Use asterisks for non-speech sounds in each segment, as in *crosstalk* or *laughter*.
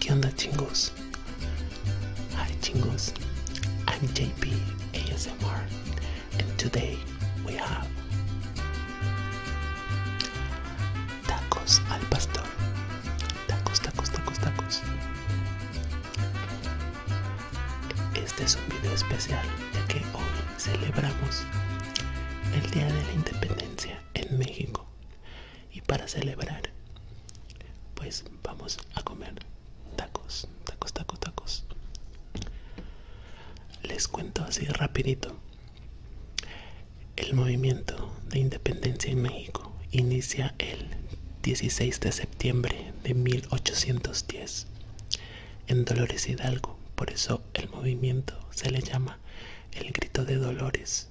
¿Qué onda chingos? Hi chingos, I'm JP and today we have Tacos al pastor. Tacos, tacos, tacos, tacos. Este es un video especial ya que hoy celebramos el Día de la Independencia en México. Y para celebrar, pues vamos a comer tacos, tacos, tacos, tacos les cuento así rapidito. El movimiento de independencia en México inicia el 16 de septiembre de 1810 en Dolores Hidalgo, por eso el movimiento se le llama el grito de Dolores.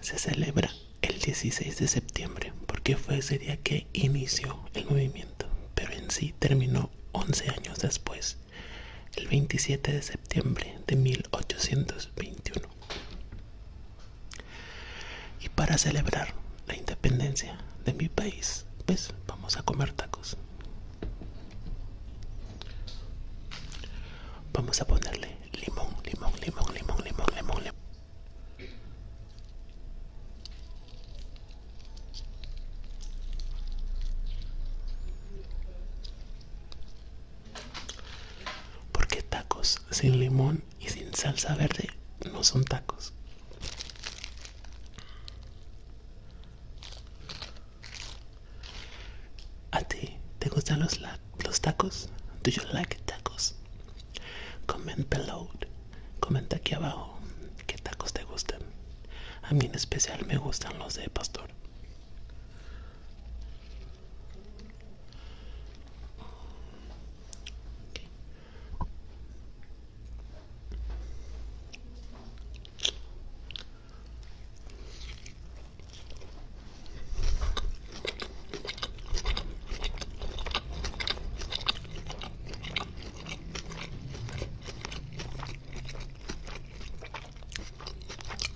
Se celebra el 16 de septiembre porque fue ese día que inició el movimiento pero en sí terminó 11 años después, el 27 de septiembre de 1821. Y para celebrar la independencia de mi país, pues vamos a comer tacos. Vamos a ponerle limón, limón, limón, limón, limón, limón. limón. Porque tacos sin limón y sin salsa verde no son tacos. ¿A ti te gustan los, los tacos? ¿Do you like tacos? Comment below. Comenta aquí abajo qué tacos te gustan. A mí en especial me gustan los de pastor.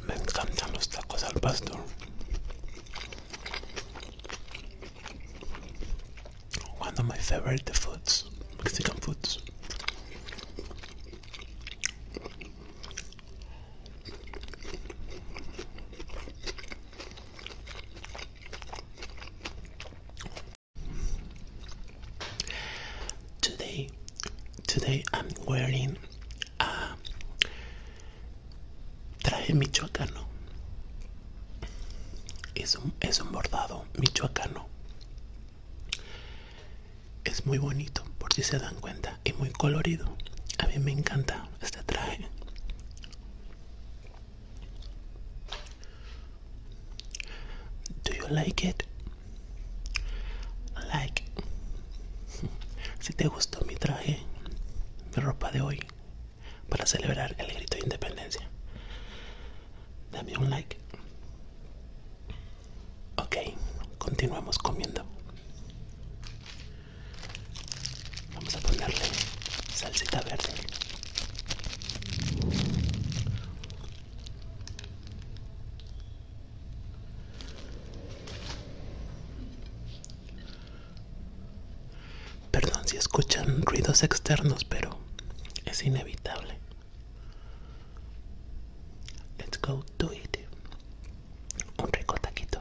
Me encantan los tacos al pastor. One of my favorite foods, Mexican foods. Today, today I'm wearing a traje michoacano. Es un, es un bordado michoacano. Es muy bonito, por si se dan cuenta, y muy colorido. A mí me encanta este traje. Do you like it? Like. Si te gustó mi traje, mi ropa de hoy, para celebrar el grito de independencia, dame un like. Ok, continuamos comiendo. Vamos a ponerle salsita verde. Perdón si escuchan ruidos externos, pero es inevitable. Let's go to it. Un rico taquito.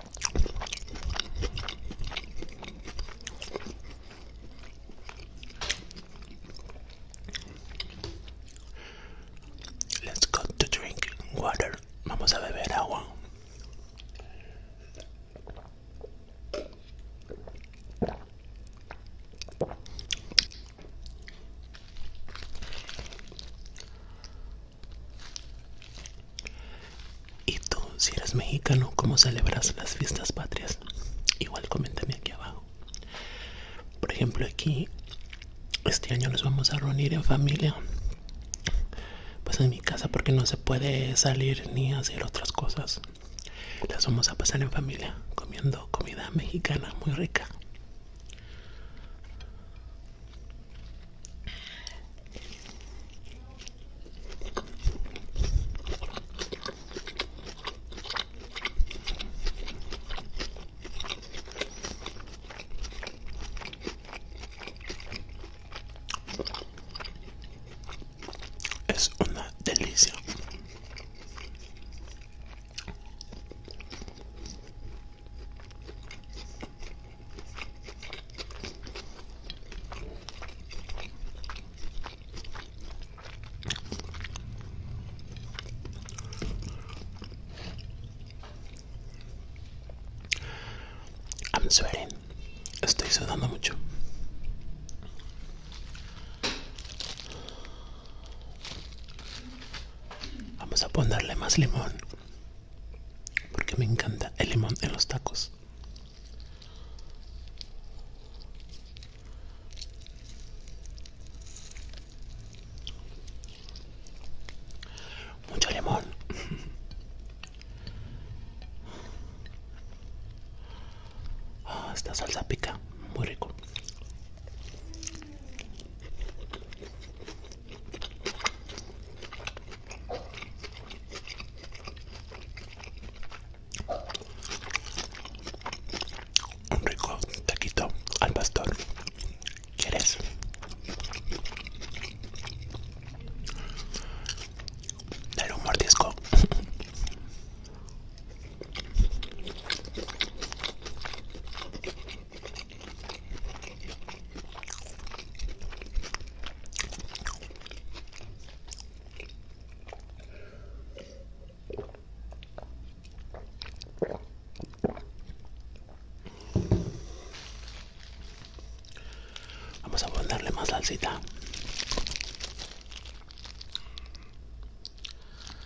Let's go to drink water. Vamos a beber agua. Y tú, si eres mexicano, ¿cómo celebras las fiestas patrias? Igual coméntame aquí abajo. Por ejemplo, aquí, este año nos vamos a reunir en familia. Pues en mi casa porque no se puede salir ni hacer otras cosas. Las vamos a pasar en familia, comiendo comida mexicana muy rica. Es una delicia. I'm sweating. Estoy sudando mucho. Vamos a ponerle más limón porque me encanta el limón en los tacos. Mucho limón. *laughs* Ah, esta salsa pica, muy rico. Un rico taquito al pastor. ¿Quieres? Dale un mordisco. Vamos a ponerle más salsita.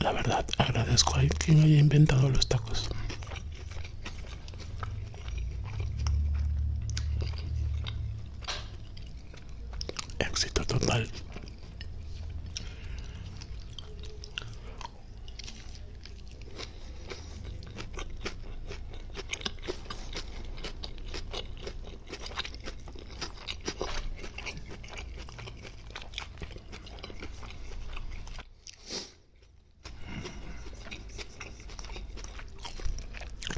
La verdad, agradezco a quien haya inventado los tacos. Éxito total.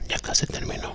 Ya casi terminó.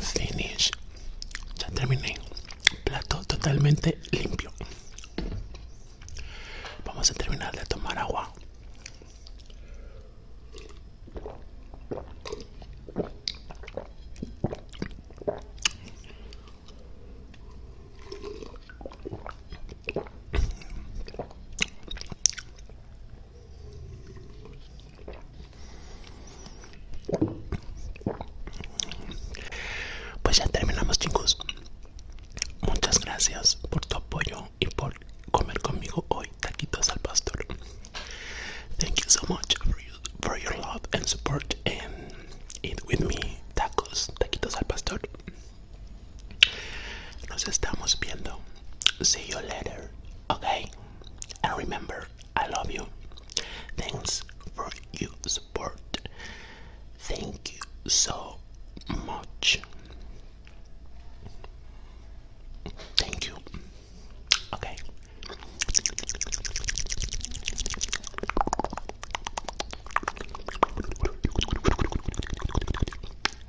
Finish. Ya terminé. Plato totalmente limpio. Vamos a terminar de tomar agua. Pues ya terminamos chicos. Muchas gracias por tu apoyo y por comer conmigo hoy taquitos al pastor. Thank you so much for, your love and support and eat with me tacos, taquitos al pastor. Nos estamos viendo. See you later. Okay. And remember, I love you. Thanks for your support. Thank you so much. Thank you. Okay.